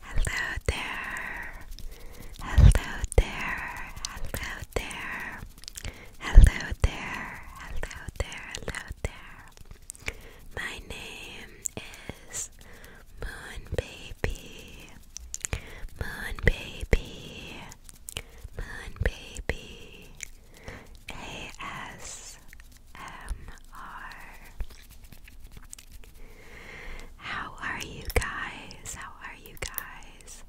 Hello there. Hello there. Hello there. Hello there. Hello there. Hello there. My name is Moon Baby. Moon Baby. Moon Baby. A S how are you guys? How are you guys?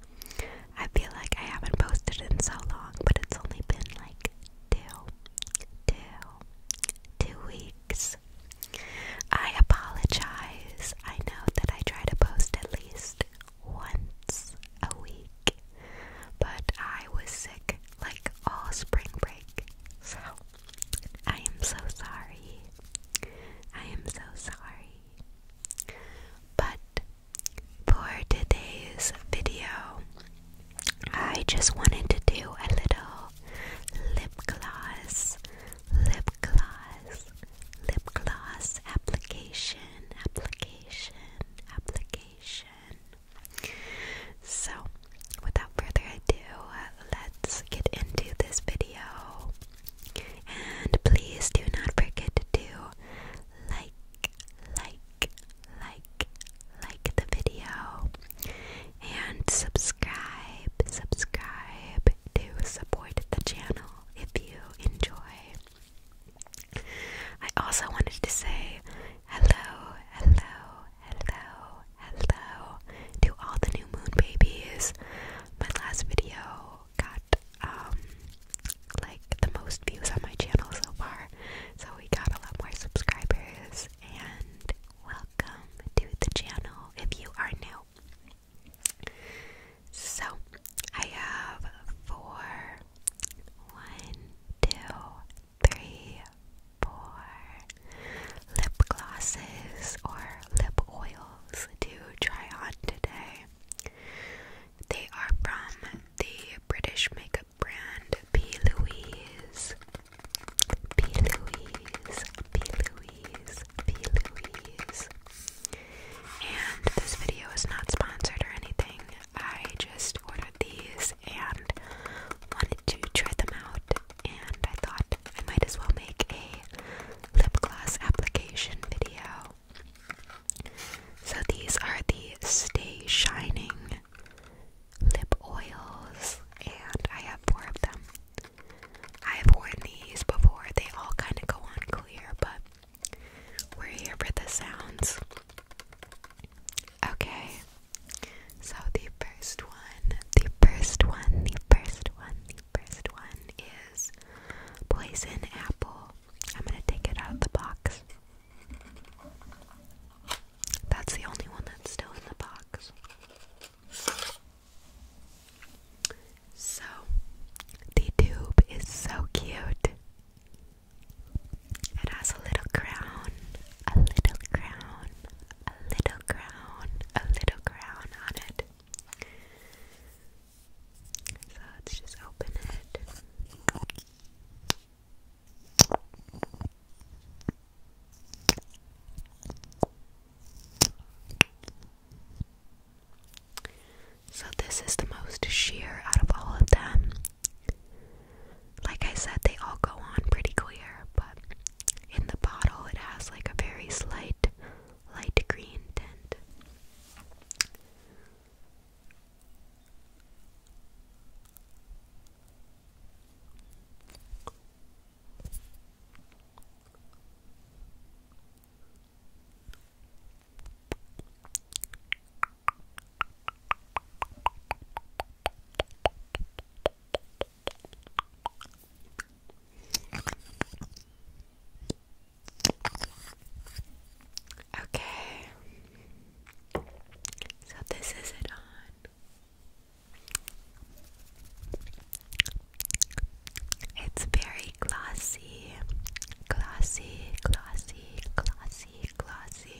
I feel like I haven't posted in so long, but it's only been like two, two, two weeks. I apologize. I know that I try to post at least once a week, but I was sick like all spring break, so I am so sorry. I am so sorry. But for today's video, I just wanted to do a little lip gloss, lip gloss, lip gloss application, application, application. So, without further ado, let's get into this video. And please do not forget to like, like, like, like the video and subscribe, subscribe to support the channel if you enjoy. I also wanted to say hello, hello, hello, hello to all the new moon babies. My last video got um like the most views on my channel so far. So we got a lot more subscribers and welcome to the channel if you are new. So I have four one, two, three, four lip glosses or lip oils to try on today. They are from the British makeup brand P. Louise. P. Louise, P. Louise, P. Louise. And this video is not sponsored or anything. I just ordered these and wanted to try them out. And I thought I might as well make a lip gloss application video. So these are the Stay Shining lip oils, and I have four of them. I have worn these before, they all kind of go on clear, but we're here for the sounds. Okay, so the first one, the first one, the first one, the first one is poison apple. I'm gonna take it out of the box. That's the only one that's still in the box. So, the tube is so cute. It has a little crown, a little crown, a little crown, a little crown on it. So let's just open it. So, this is the most sheer out of all of them. Like I said, they all go on pretty clear, but in the bottle it has like a very slight light green tint. Okay. So this is it on. It's very glossy. Glossy, glossy, glossy, glossy.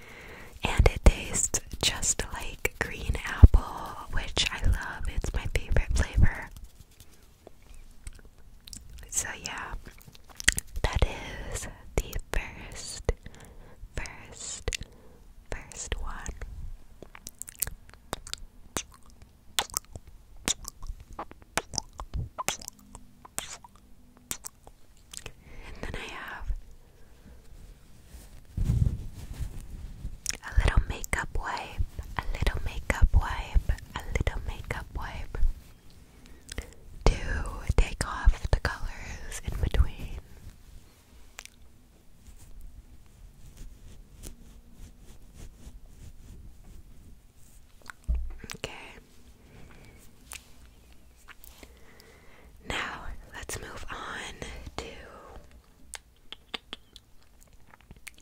And it tastes just like green apple, which I love. It's my favorite flavor. So, yeah, that is the first, first, first one. And then I have a little makeup wipe, a little makeup wipe, a little makeup wipe to take off the colors in between. Okay. Now, let's move on to.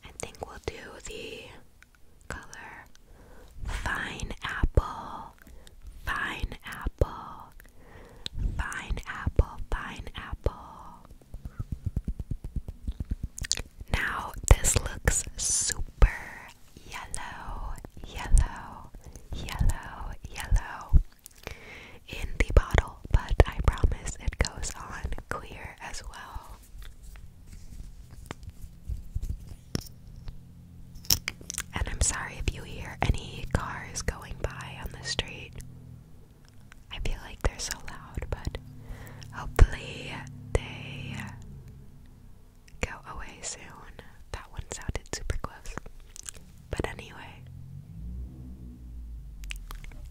I think we'll do the color Fine Apple, Fine Apple, Fine Apple, Fine Apple. Now, this looks super yellow, yellow, yellow, yellow in the bottle, but I promise it goes on clear as well. And I'm sorry if you hear any cars going by on the street. I feel like they're so loud, but hopefully they go away soon. That one sounded super close. But anyway,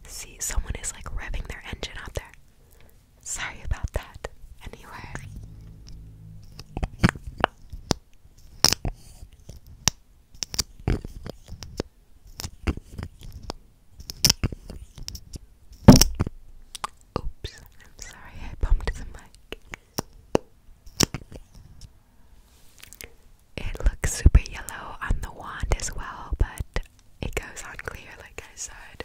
see, someone is like revving their engine out there. Sorry about that. Anyway. Oops, I'm sorry I bumped the mic. It looks super yellow on the wand as well, but it goes on clear, like I said.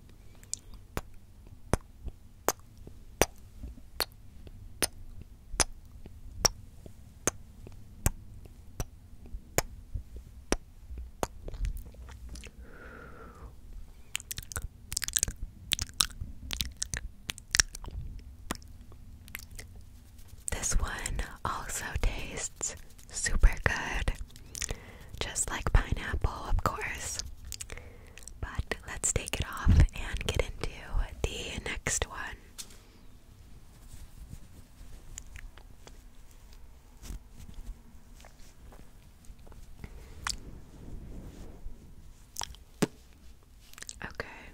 This one also tastes super good. Just like pineapple, of course. But let's take it off and get into the next one. Okay.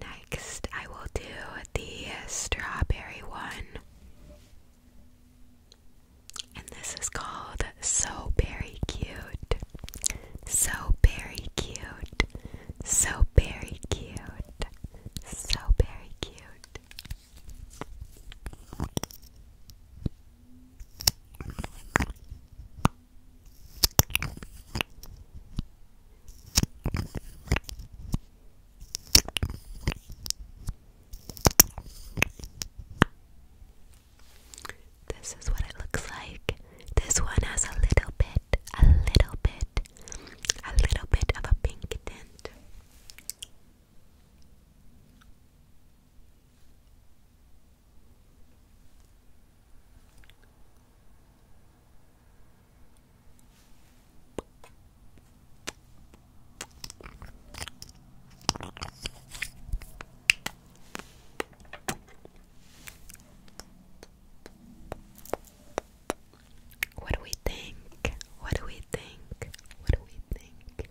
Next, I will do the strawberry one. And this is called So Very Cute. So Very Cute. So Very Cute. So Very Cute. This is what it looks like. This one has a little bit, a little bit, a little bit of a pink tint. What do we think? What do we think? What do we think?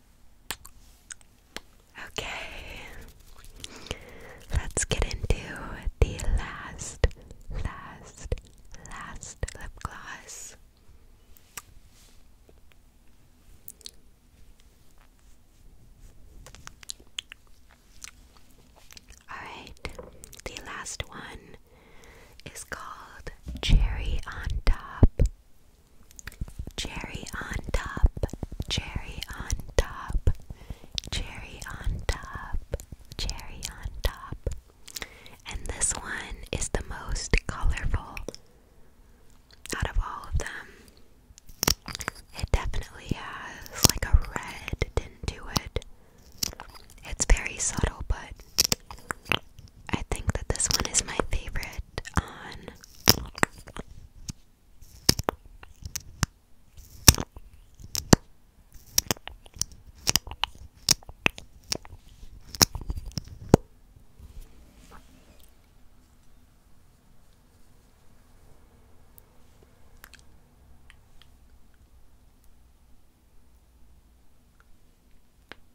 Okay, let's get into the last, last, last lip gloss. Alright, the last one is called Cherry on Top. Cherry on top, cherry on top, cherry on top, cherry on top. And this one is the most colorful out of all of them. It definitely has like a red tint to it. It's very subtle, but I think that this one is my favorite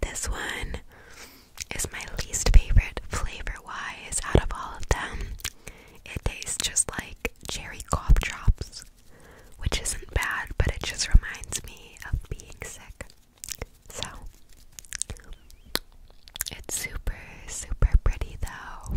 This one is my least favorite flavor wise out of all of them. It tastes just like cherry cough drops, which isn't bad, but it just reminds me of being sick. So, it's super, super pretty though.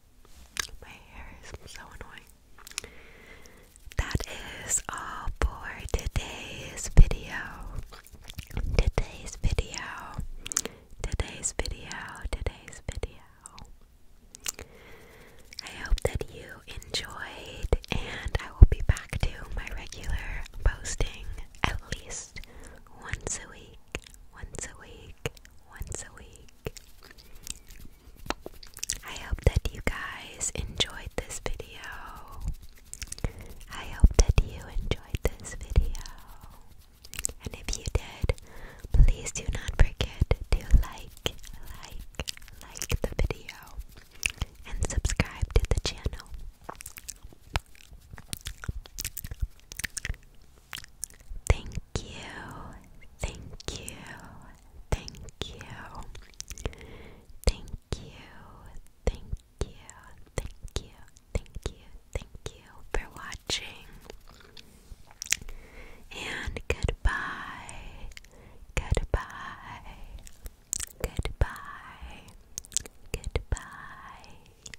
my hair is so annoying. That is all for today's video. Today's video. Today's video. Today's video. I hope that you enjoyed, and I will be back to my regular posting at least once a week once a week, once a week. I hope that you guys enjoyed this video. I hope that you enjoyed this video. And if you did, please do not forget to like, like, like the video and subscribe to the channel. Thank you, thank you, thank you, thank you, thank you, thank you, thank you, thank you for watching. And goodbye, goodbye, goodbye, goodbye.